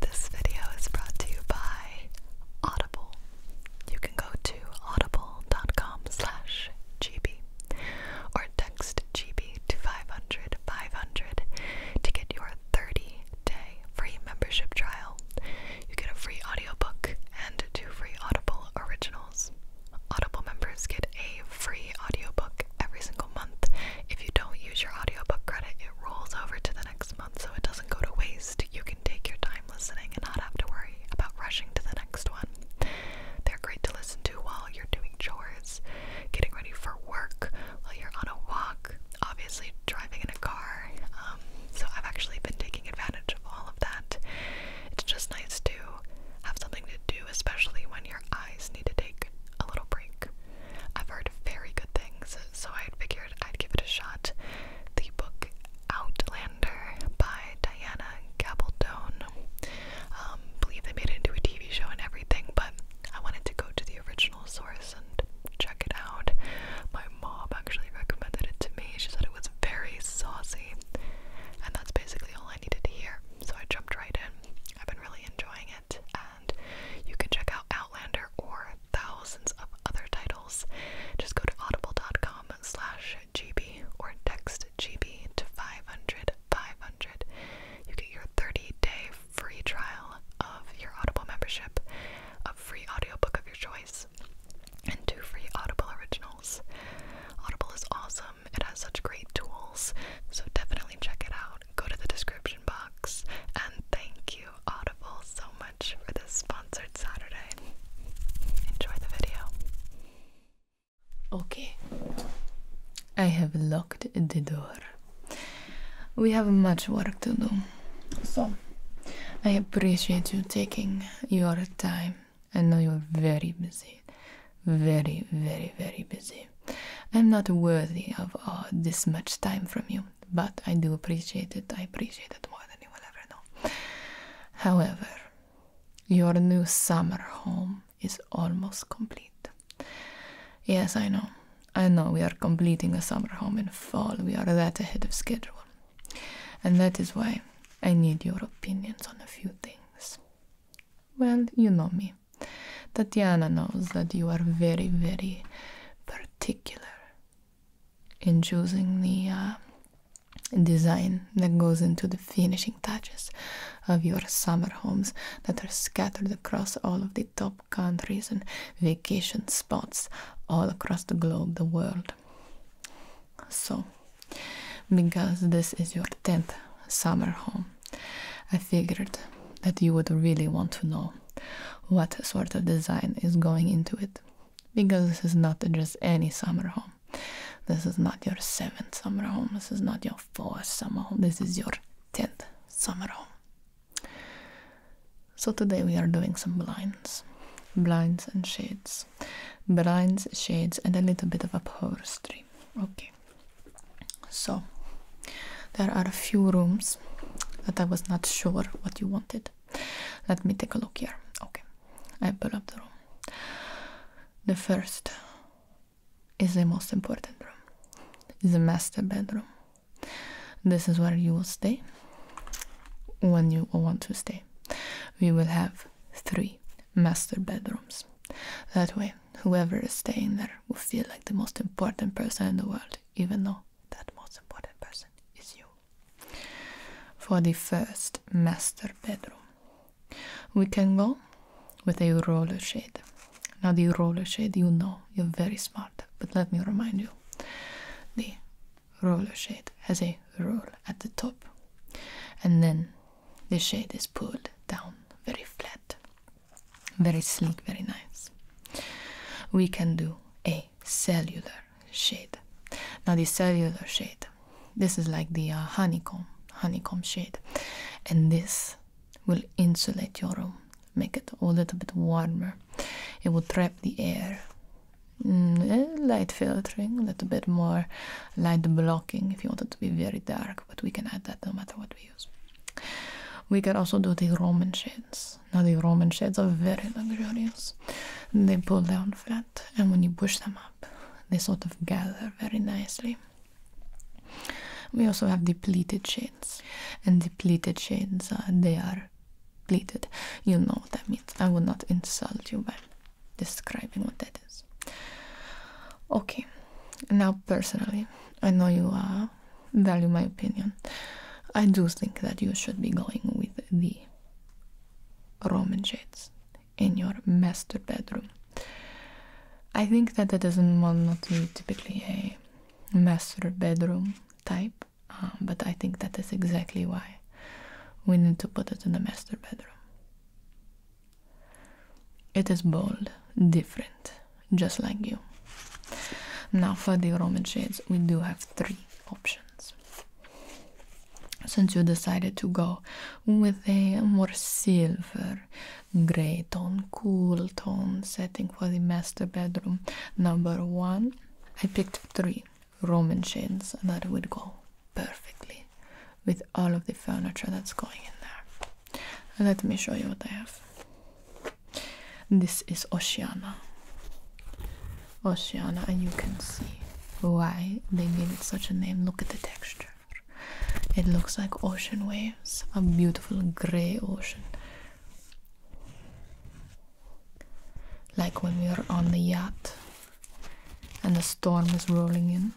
This video is brought to you by Audible. You can go to audible.com slash GB or text GB to 500 500 to get your 30 day free membership trial. You get a free audiobook and two free Audible originals. Audible members get a free audiobook every single month. If you don't use your audiobook credit, it rolls over to the next month so it doesn't go to waste. You can take your time listening and not have to worry about rushing to the next one. They're great to listen to while you're doing chores, getting ready for work, while you're on a walk, obviously driving in a car. Um, so I've actually been taking advantage of all of that. It's just nice to have something to do, especially when your eyes need to take a little break. I've heard very good things, so I figured I'd give it a shot. The book Outlander by Diana Gabaldon. Um, believe they made it into a TV show and everything, but I wanted to go to the original source and check it out. My mom actually recommended it to me. She said it was very saucy, and that's basically all I needed to hear. So I jumped right in. I've been really enjoying it you can check out Outlander or thousands of other titles. Just go to audible.com slash gb or text gb to 500 500. You get your 30-day free trial of your Audible membership, a free audiobook of your choice, and two free Audible originals. Audible is awesome. It has such great tools, so definitely check it out. Go to the description box. And thank you, Audible, so much for this sponsored Saturday. Enjoy the video. Okay, I have locked the door. We have much work to do. So, I appreciate you taking your time. I know you're very busy. Very, very, very busy. I'm not worthy of uh, this much time from you, but I do appreciate it. I appreciate it more than you will ever know. However, your new summer home is almost complete. Yes, I know. I know we are completing a summer home in fall. We are that ahead of schedule. And that is why I need your opinions on a few things. Well, you know me. Tatiana knows that you are very, very particular in choosing the uh, design that goes into the finishing touches of your summer homes that are scattered across all of the top countries and vacation spots all across the globe, the world. So, because this is your 10th summer home, I figured that you would really want to know what sort of design is going into it because this is not just any summer home. This is not your seventh summer home. This is not your fourth summer home. This is your tenth summer home. So today we are doing some blinds, blinds and shades, blinds, shades, and a little bit of upholstery. Okay, so there are a few rooms that I was not sure what you wanted. Let me take a look here. Okay, I pull up the room. The first is the most important room. The master bedroom. This is where you will stay when you want to stay. We will have three master bedrooms. That way whoever is staying there will feel like the most important person in the world, even though that most important person is you. For the first master bedroom, we can go with a roller shade. Now, the roller shade, you know, you're very smart, but let me remind you the roller shade has a roll at the top, and then the shade is pulled down very flat. Very sleek, very nice. We can do a cellular shade. Now, this cellular shade, this is like the uh, honeycomb, honeycomb shade, and this will insulate your room, make it a little bit warmer. It will trap the air. Mm, eh, light filtering, a little bit more light blocking if you want it to be very dark, but we can add that no matter what we. We could also do the Roman shades. Now the Roman shades are very luxurious. They pull down flat, and when you push them up, they sort of gather very nicely. We also have the pleated shades, and the pleated shades uh, they are pleated. You know what that means. I will not insult you by describing what that is. Okay, now personally, I know you are value my opinion. I do think that you should be going with the Roman shades in your master bedroom. I think that that does not typically a master bedroom type, um, but I think that is exactly why we need to put it in the master bedroom. It is bold, different, just like you. Now, for the Roman shades, we do have three options. Since you decided to go with a more silver gray tone, cool tone setting for the master bedroom, number one, I picked three Roman shades that would go perfectly with all of the furniture that's going in there. Let me show you what I have. This is Oceana. Oceana, and you can see why they gave it such a name. Look at the texture. It looks like ocean waves, a beautiful grey ocean. Like when we are on the yacht and the storm is rolling in,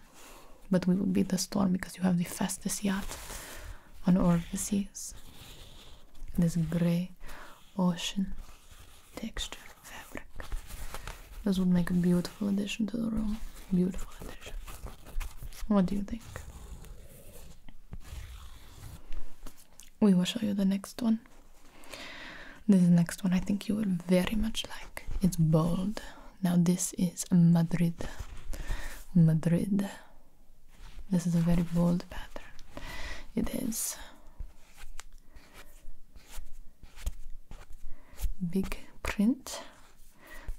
but we will beat the storm because you have the fastest yacht on all the seas. This grey ocean texture fabric. This would make a beautiful addition to the room. Beautiful addition. What do you think? We will show you the next one. This next one I think you will very much like. It's bold, now this is Madrid. Madrid. This is a very bold pattern. It is big print,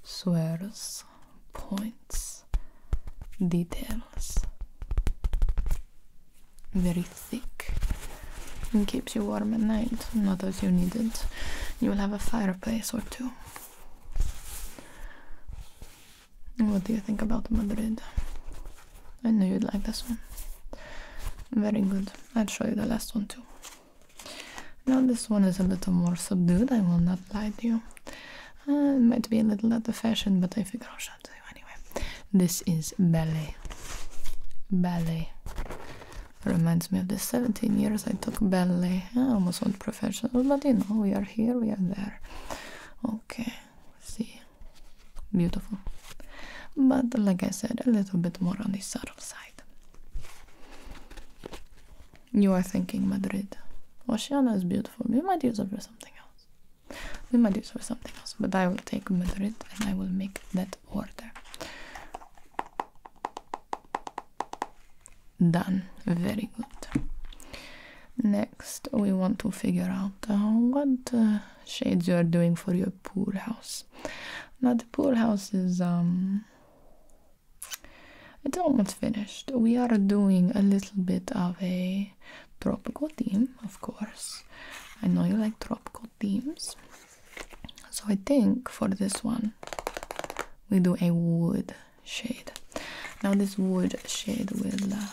squares, points, details. Very thick and keeps you warm at night, not as you need it. You will have a fireplace or two. What do you think about Madrid? I know you'd like this one. Very good. I'll show you the last one too. Now this one is a little more subdued, I will not lie to you. Uh, it might be a little out of fashion, but I figure I'll show it to you anyway. This is ballet. Ballet. Reminds me of the 17 years I took ballet. I almost not professional, but you know, we are here, we are there. Okay, see, beautiful. But like I said, a little bit more on the subtle side. You are thinking Madrid. Oceania is beautiful. We might use it for something else. We might use it for something else. But I will take Madrid and I will make that order done very good next we want to figure out uh, what uh, shades you are doing for your pool house now the pool house is um it's almost finished we are doing a little bit of a tropical theme of course i know you like tropical themes so i think for this one we do a wood shade. Now this wood shade will uh,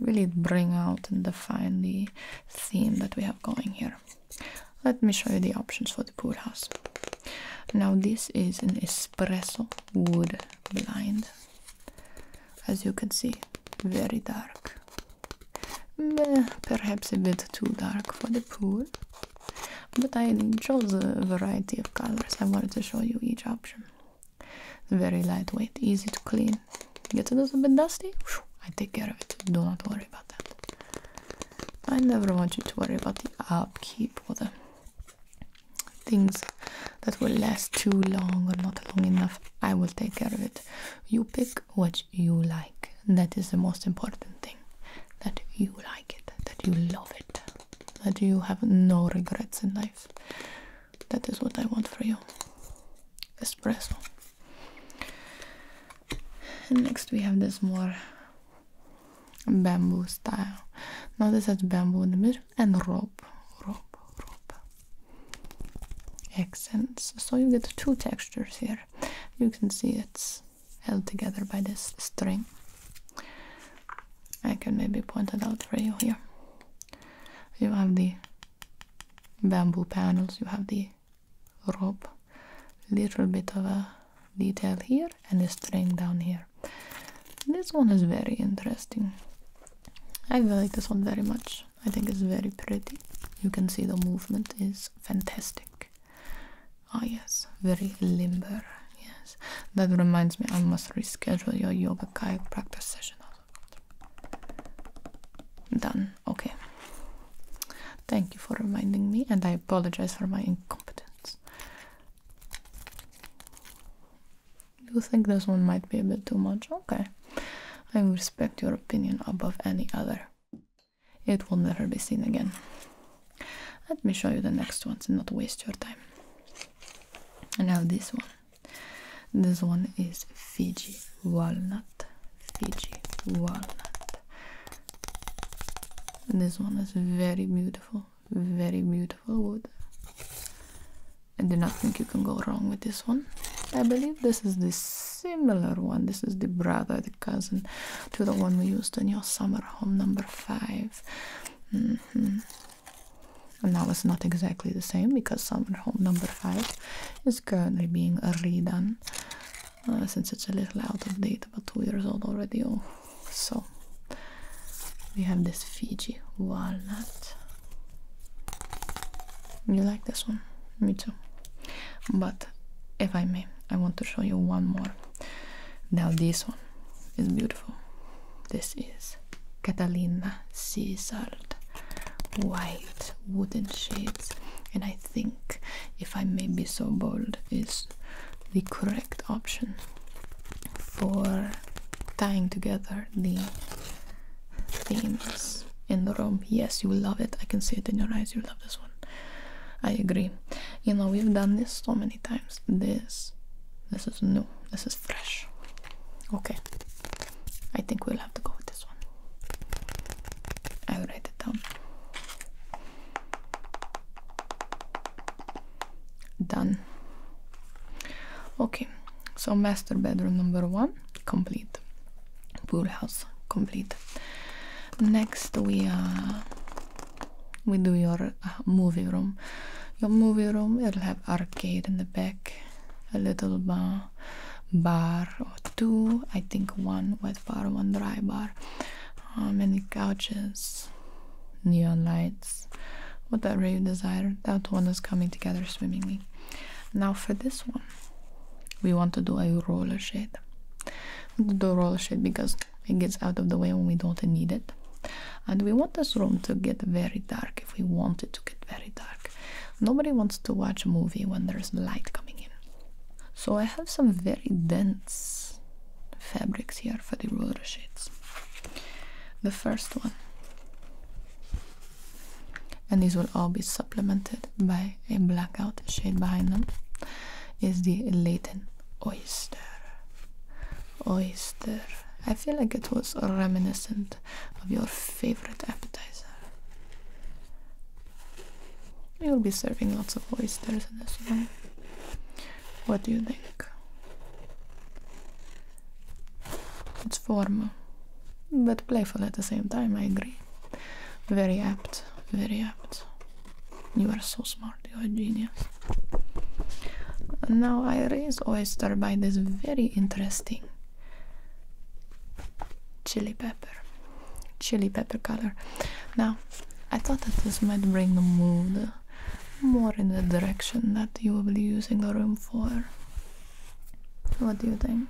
really bring out and define the theme that we have going here. Let me show you the options for the pool house. Now this is an espresso wood blind. As you can see, very dark. Perhaps a bit too dark for the pool but I chose a variety of colors. I wanted to show you each option. very lightweight, easy to clean. Gets a little bit dusty, I take care of it. Do not worry about that. I never want you to worry about the upkeep or the things that will last too long or not long enough. I will take care of it. You pick what you like. That is the most important thing. That you like it, that you love it that you have no regrets in life. That is what I want for you. Espresso. next we have this more bamboo style. Now this has bamboo in the middle and rope, rope, rope. Accents. So you get two textures here. You can see it's held together by this string. I can maybe point it out for you here. You have the bamboo panels, you have the rope, little bit of a detail here and the string down here. This one is very interesting. I like this one very much. I think it's very pretty. You can see the movement is fantastic. Ah, oh, yes, very limber. Yes, that reminds me, I must reschedule your yoga kayak practice session. Done. Okay. Thank you for reminding me, and I apologize for my incompetence. You think this one might be a bit too much? Okay. I respect your opinion above any other. It will never be seen again. Let me show you the next ones and not waste your time. Now this one. This one is Fiji walnut. Fiji walnut. This one is very beautiful, very beautiful wood. I do not think you can go wrong with this one. I believe this is the similar one. This is the brother, the cousin to the one we used in your summer home number five. Mm-hmm. And now it's not exactly the same because summer home number five is currently being redone uh, since it's a little out of date, about two years old already. Oh. so we have this Fiji walnut. You like this one? Me too. But if I may, I want to show you one more now this one is beautiful. This is Catalina Salt white wooden shades and I think if I may be so bold is the correct option for tying together the themes in the room. Yes, you will love it. I can see it in your eyes. You love this one. I agree. You know, we've done this so many times. This, this is new. This is fresh. Okay. I think we'll have to go with this one. I'll write it down. Done. Okay. So master bedroom number one complete. Pool house complete. Next we are we do your uh, movie room your movie room it'll have arcade in the back a little bar bar or two i think one wet bar one dry bar uh, many couches neon lights whatever you desire that one is coming together swimmingly now for this one we want to do a roller shade do roller shade because it gets out of the way when we don't need it and we want this room to get very dark if we want it to get very dark nobody wants to watch a movie when there's light coming in so i have some very dense fabrics here for the roller shades the first one and these will all be supplemented by a blackout shade behind them is the Leighton oyster oyster i feel like it was reminiscent of your favorite appetizer you'll be serving lots of oysters in this one what do you think it's formal but playful at the same time i agree very apt very apt you are so smart, you are a genius. Now I raise oyster by this very interesting chili pepper. Chili pepper color. Now I thought that this might bring the mood more in the direction that you will be using the room for. What do you think?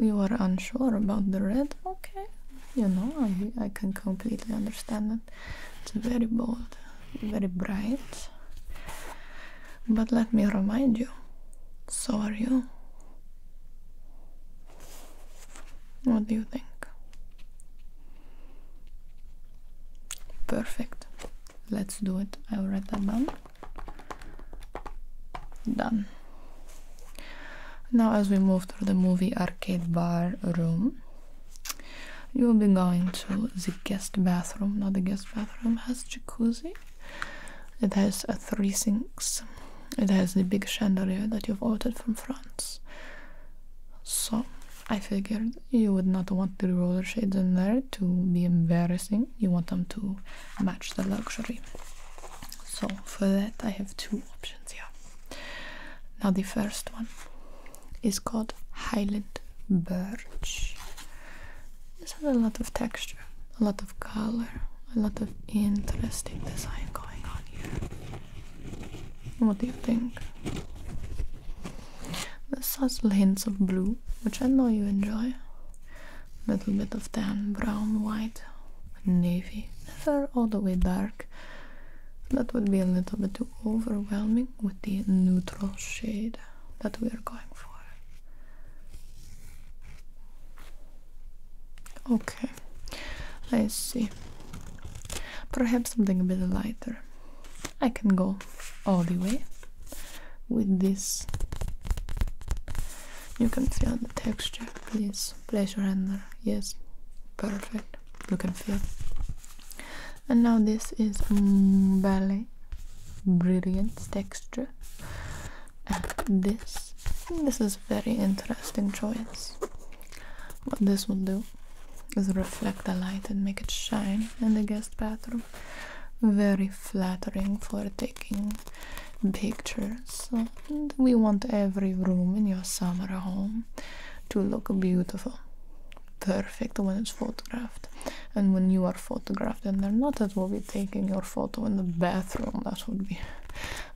You are unsure about the red? Okay, you know, I, I can completely understand it. It's very bold, very bright. But let me remind you, so are you. What do you think? Perfect. Let's do it. I that done. Done. Now, as we move through the movie arcade bar room, you will be going to the guest bathroom. Now, the guest bathroom has jacuzzi. It has uh, three sinks. It has the big chandelier that you've ordered from France. So, I figured you would not want the roller shades in there to be embarrassing. You want them to match the luxury. So, for that, I have two options here. Now the first one is called Highland Birch. This has a lot of texture, a lot of color, a lot of interesting design going on here. What do you think? The subtle hints of blue, which I know you enjoy. A Little bit of tan, brown, white, navy, all the way dark. That would be a little bit too overwhelming with the neutral shade that we are going for. Okay, let's see. Perhaps something a bit lighter. I can go all the way with this you can feel the texture, please. Place your hand there. Yes, perfect. You can feel. And now this is mm, ballet, brilliant texture. this, this is very interesting choice. What this will do is reflect the light and make it shine in the guest bathroom. Very flattering for taking pictures. And we want every room in your summer home to look beautiful, perfect when it's photographed. And when you are photographed and they're not, that will be taking your photo in the bathroom. That would be.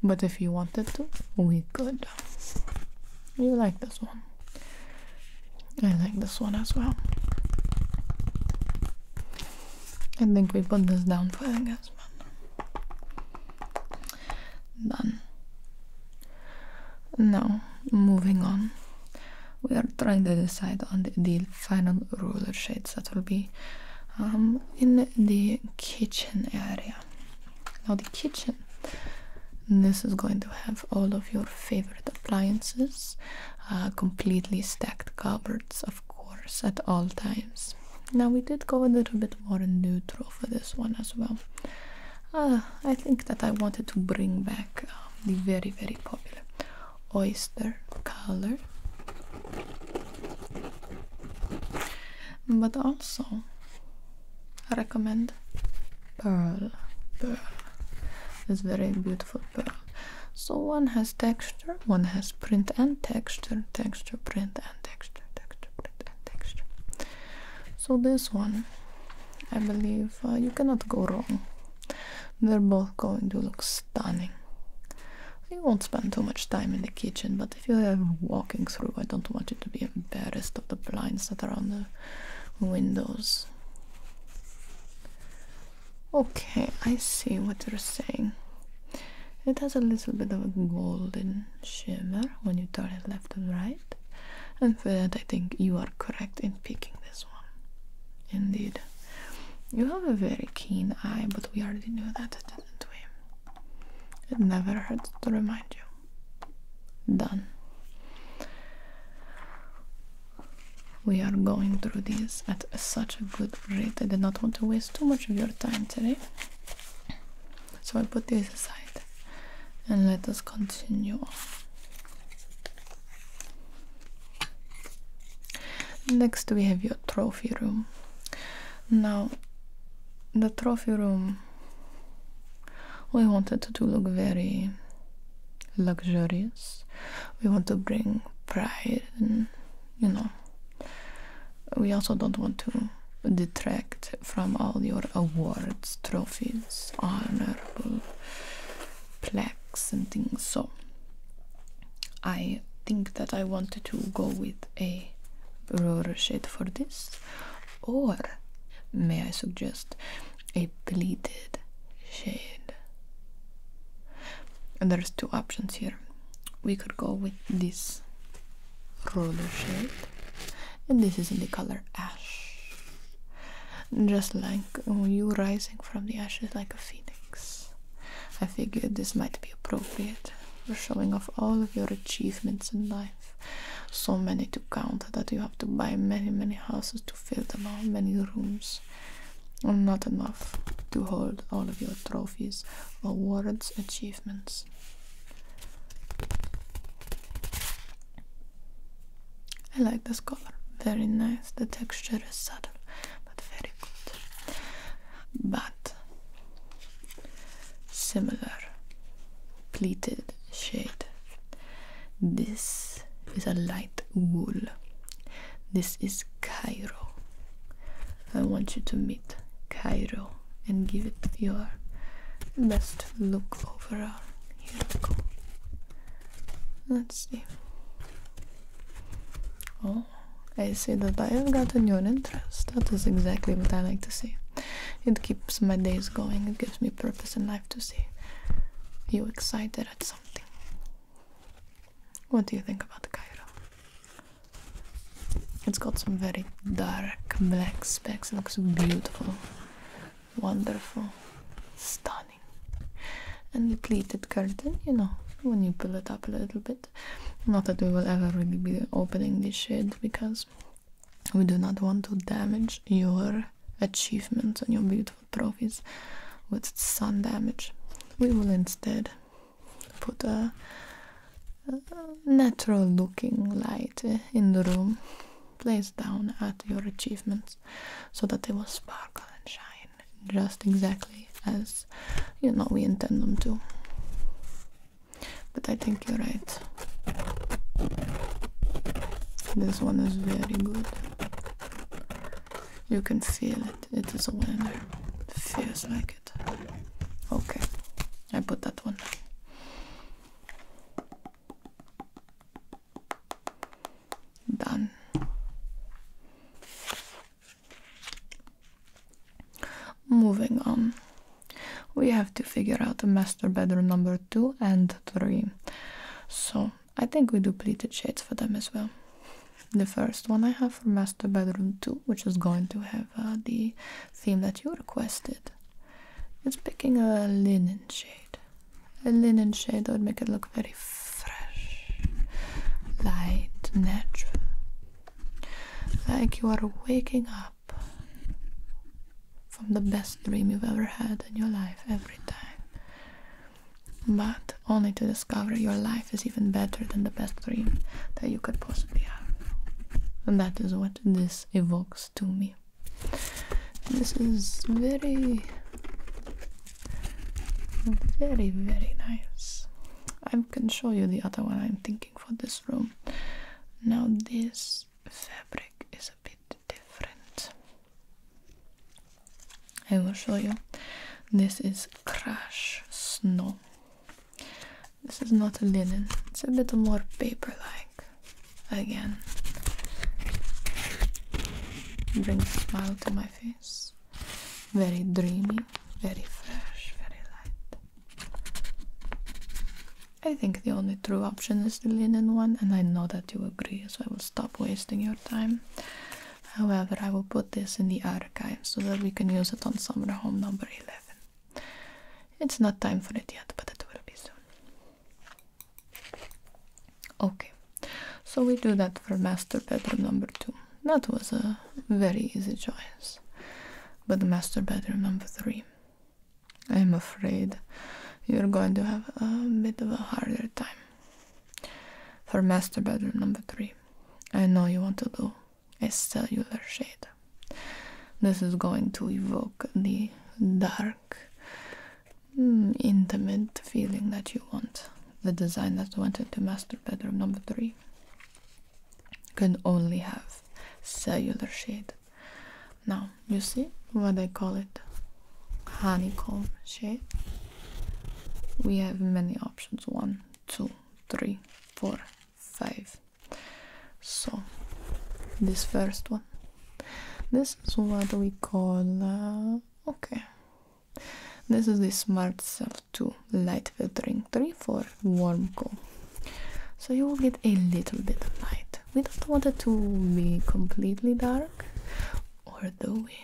But if you wanted to, we could. You like this one. I like this one as well. I think we put this down for again. Done. Now, moving on. We are trying to decide on the, final ruler shades that will be um, in the kitchen area. Now, the kitchen. This is going to have all of your favorite appliances, uh, completely stacked cupboards, of course at all times now we did go a little bit more neutral for this one as well ah, i think that i wanted to bring back um, the very very popular oyster color but also recommend pearl pearl this very beautiful pearl so one has texture one has print and texture texture print texture, texture, texture. So this one, I believe uh, you cannot go wrong. They're both going to look stunning. You won't spend too much time in the kitchen, but if you are walking through, I don't want you to be embarrassed of the blinds that are on the windows. Okay, I see what they are saying. It has a little bit of a golden shimmer when you turn it left and right. And for that, I think you are correct in picking this one. Indeed. You have a very keen eye, but we already knew that, didn't we? It never hurts to remind you. Done. We are going through these at such a good rate. I did not want to waste too much of your time today. So i put this aside and let us continue Next we have your trophy room. Now the trophy room we wanted to look very luxurious. We want to bring pride you know we also don't want to detract from all your awards, trophies, honorable plaques and things. So I think that I wanted to go with a roller shade for this or may I suggest a pleated shade. And there's two options here we could go with this roller shade and this is in the color ash just like uh, you rising from the ashes like a phoenix i figured this might be appropriate for showing off all of your achievements in life so many to count that you have to buy many many houses to fill them all many rooms and not enough to hold all of your trophies trophies, awards, achievements. I like this color, very nice. The texture is subtle, but very good. But similar pleated shade. This is a light wool. This is Cairo. I want you to meet Cairo and give it your best look overall. Here we go. Let's see. Oh, I see that I have gotten your interest. That is exactly what I like to see. It keeps my days going, it gives me purpose in life to see you excited at something. What do you think about the Cairo? It's got some very dark black specks. It looks beautiful, wonderful, stunning. And the pleated curtain, you know, when you pull it up a little bit. Not that we will ever really be opening this shade because we do not want to damage your achievements and your beautiful trophies with sun damage. We will instead put a, natural looking light eh, in the room placed down at your achievements so that they will sparkle and shine just exactly as you know we intend them to. But I think you're right. This one is very good. You can feel it. It is a winner. Feels like Okay, I put that one. Done. Moving on. We have to figure out the master bedroom number two and three. So I think we do pleated shades for them as well the first one I have for master bedroom 2 which is going to have uh, the theme that you requested it's picking a linen shade a linen shade that would make it look very fresh light natural like you are waking up from the best dream you've ever had in your life every time but only to discover your life is even better than the best dream that you could possibly have. And that is what this evokes to me. This is very, very, very nice. I can show you the other one I'm thinking for this room. Now, this fabric is a bit different. I will show you. This is Crash Snow this is not a linen, it's a bit more paper like. Again, brings a smile to my face. Very dreamy, very fresh, very light. I think the only true option is the linen one, and I know that you agree, so I will stop wasting your time. However, I will put this in the archive so that we can use it on summer home number 11. It's not time for it yet, but it will be soon. Okay, so we do that for master bedroom number 2. That was a very easy choice. But master bedroom number 3. I'm afraid you're going to have a bit of a harder time. For master bedroom number 3, I know you want to do a cellular shade. This is going to evoke the dark, mm, intimate feeling that you want. The design that's went into master bedroom number three can only have cellular shade. Now, you see what I call it? Honeycomb shade. We have many options one, two, three, four, five. So, this first one. This is what we call. Uh, okay. This is the Smart Cell 2 light filtering 3 for warm coal. So you will get a little bit of light. We don't want it to be completely dark, although we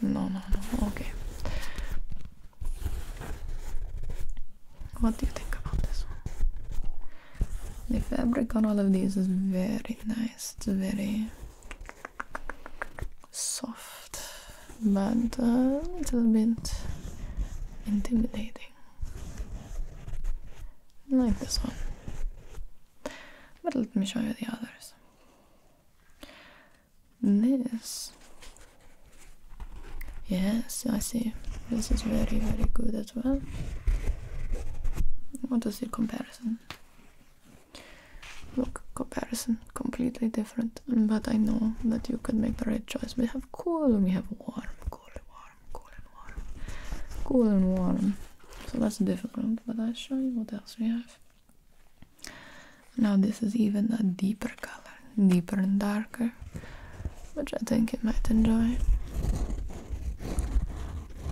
no, no, no. Okay. What do you think about this one? The fabric on all of these is very nice. It's very soft, but uh, a little bit intimidating. Like this one. But let me show you the others this yes i see this is very very good as well what is the comparison look comparison completely different but i know that you could make the right choice we have cool and we have warm cool and warm cool and warm cool and warm so that's difficult but i show you what else we have now this is even a deeper color, deeper and darker, which I think you might enjoy.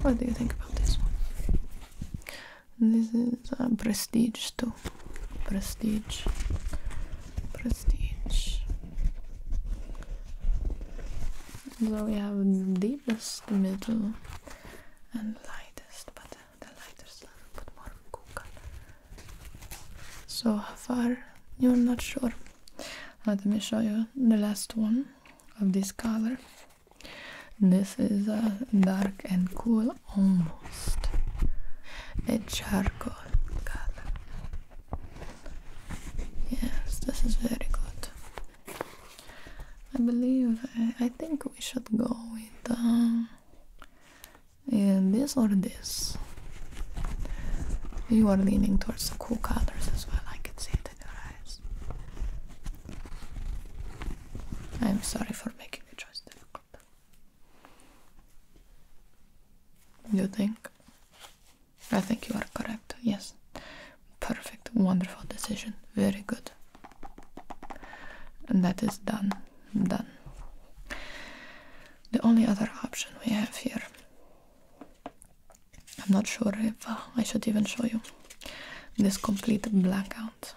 What do you think about this one? This is a uh, prestige too. Prestige. Prestige. So we have deepest middle and lightest button the lighter stuff, but more cool color. So far? You're not sure. Uh, let me show you the last one of this color. This is uh, dark and cool, almost a charcoal color. Yes, this is very good. I believe I, think we should go with. Um, and this or this you are leaning towards the cool colors as well i can see it in your eyes i'm sorry for making the choice difficult you think i think you are correct yes perfect wonderful decision very good and that is done done the only other option we have here i'm not sure if uh, i should even show you this complete blackout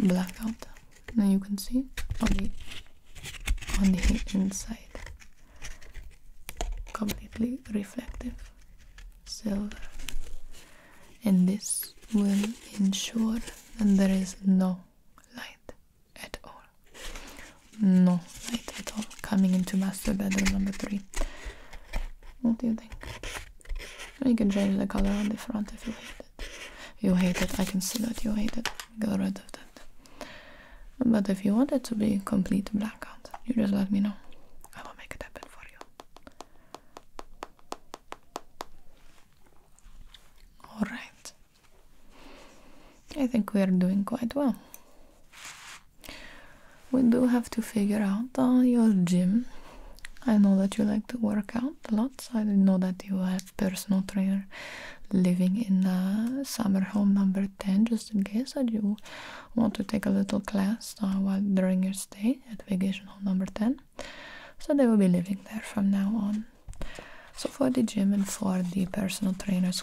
blackout now you can see on the on the inside completely reflective silver and this will ensure that there is no light at all. No light at all coming into master bedroom number three. What do you think? You can change the color on the front if you hate it. You hate it, I can see that you hate it. Get rid of that. But if you want it to be complete blackout, you just let me know. I will make it happen for you. All right. I think we are doing quite well. We do have to figure out uh, your gym. I know that you like to work out a lot. I know that you have personal trainer living in summer home number 10 just in case that you want to take a little class uh, while during your stay at vacation home number 10 so they will be living there from now on. So for the gym and for the personal trainer's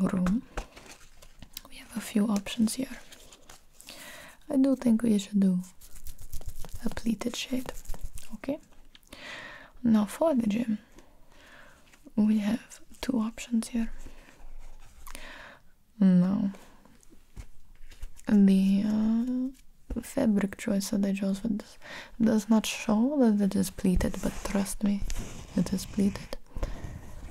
room, we have a few options here. I do think we should do a pleated shade. Okay. Now for the gym, we have two options here. No, the uh, fabric choice that I chose for this does not show that it is pleated, but trust me, it is pleated.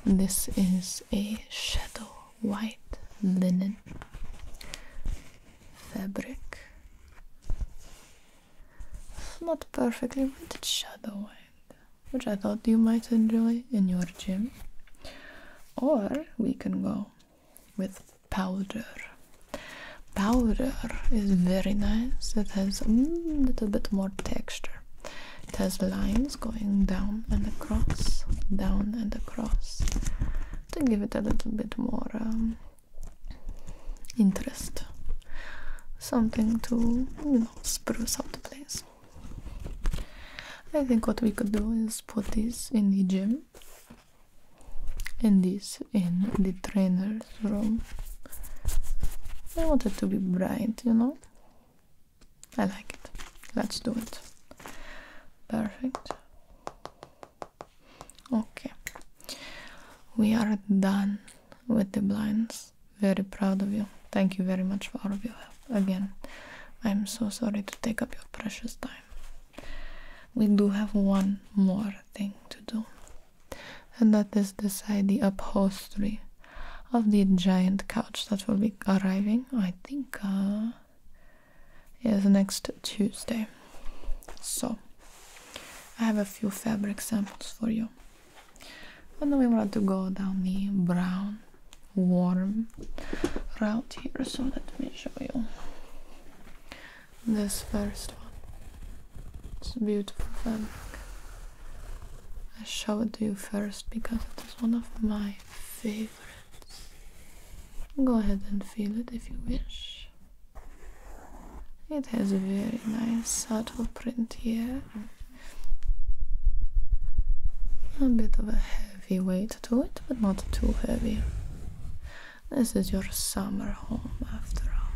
This is a shadow white linen fabric. not perfectly, white shadow white, which I thought you might enjoy in your gym. Or we can go with powder. Powder is very nice. It has a little bit more texture. It has lines going down and across, down and across, to give it a little bit more um, interest. Something to spruce up the place. I think what we could do is put this in the gym and this in the trainer's room. I want it to be bright, you know? I like it. Let's do it. Perfect. Okay. We are done with the blinds. Very proud of you. Thank you very much for all of your help. Again, I'm so sorry to take up your precious time. We do have one more thing to do, and that is decide the upholstery of the giant couch that will be arriving, I think, uh, is next Tuesday. So, I have a few fabric samples for you. And then we want to go down the brown, warm route here so let me show you this first one it's a beautiful fabric I show it to you first because it is one of my favorites go ahead and feel it if you wish it has a very nice subtle print here a bit of a heavy weight to it, but not too heavy. This is your summer home after all.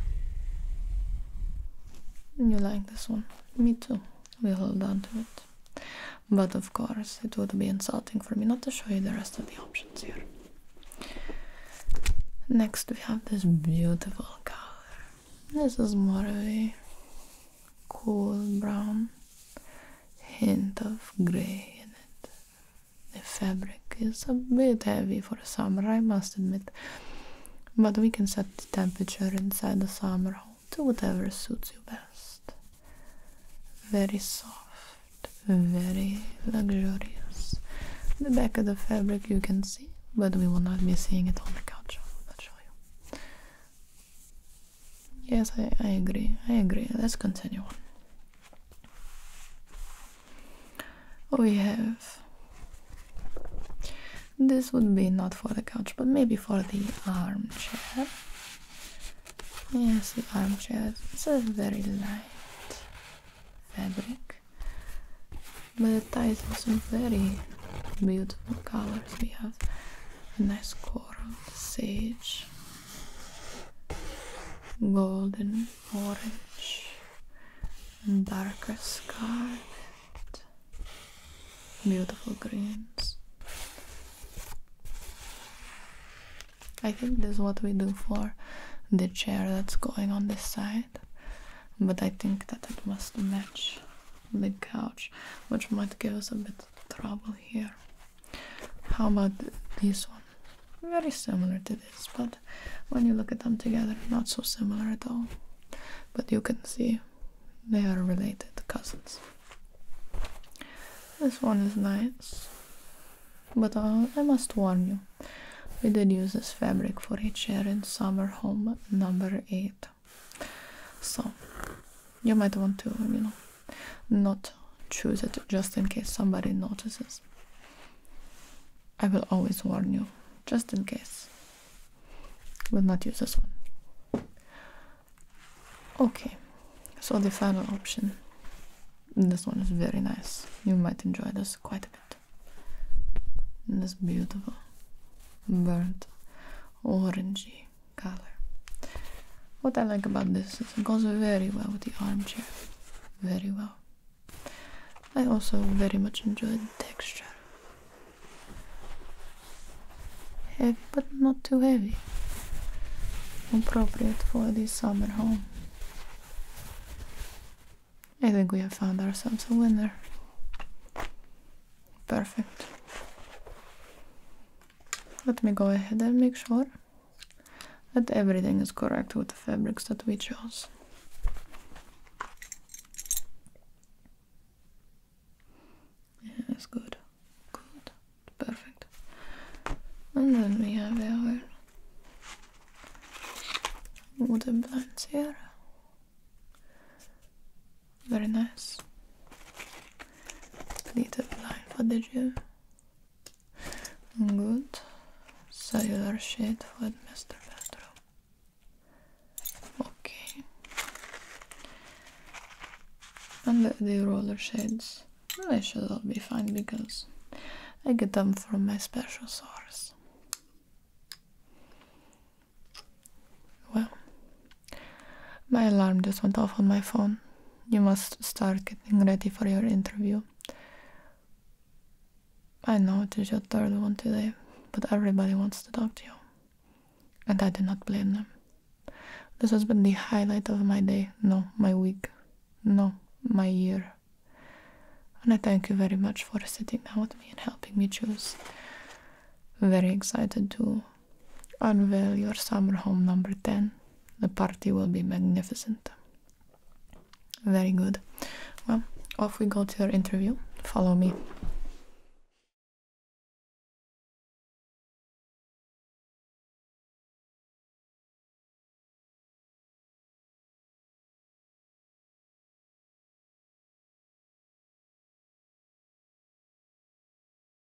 You like this one? Me too. We hold on to it. But of course, it would be insulting for me not to show you the rest of the options here. Next, we have this beautiful color. This is more of a cool brown, hint of gray the fabric is a bit heavy for summer, I must admit. But we can set the temperature inside the summer home to whatever suits you best. Very soft, very luxurious. The back of the fabric you can see, but we will not be seeing it on the couch. I'll show you. Yes, I, I agree. I agree. Let's continue on. We have this would be not for the couch, but maybe for the armchair. Yes, the armchair. It's a very light fabric, but it ties in some very beautiful colors. We have a nice coral, sage, golden orange and darker scarlet beautiful greens I think this is what we do for the chair that's going on this side but I think that it must match the couch which might give us a bit trouble here how about this one? Very similar to this, but when you look at them together, not so similar at all. But you can see they are related cousins. This one is nice, but uh, I must warn you, we did use this fabric for a chair in summer home number 8. So, you might want to, you know, not choose it just in case somebody notices. I will always warn you, just in case. Will not use this one. Okay, so the final option. This one is very nice. You might enjoy this quite a bit. This beautiful burnt orangey color. What I like about this is it goes very well with the armchair. Very well. I also very much enjoy the texture. Heavy but not too heavy. Appropriate for this summer home. I think we have found ourselves a winner. Perfect. Let me go ahead and make sure that everything is correct with the fabrics that we chose. Yes, good. Good. Perfect. And then we have our wooden plants here. Very nice little blind for the jaw. Good. Cellular shade for the master bedroom. Okay. And the, the roller shades. They should all be fine because I get them from my special source. Well, my alarm just went off on my phone. You must start getting ready for your interview. I know it is your third one today, but everybody wants to talk to you. And I do not blame them. This has been the highlight of my day. No, my week. No, my year. And I thank you very much for sitting down with me and helping me choose. Very excited too unveil your summer home number 10. The party will be magnificent. Very good. Well, off we go to your interview. Follow me.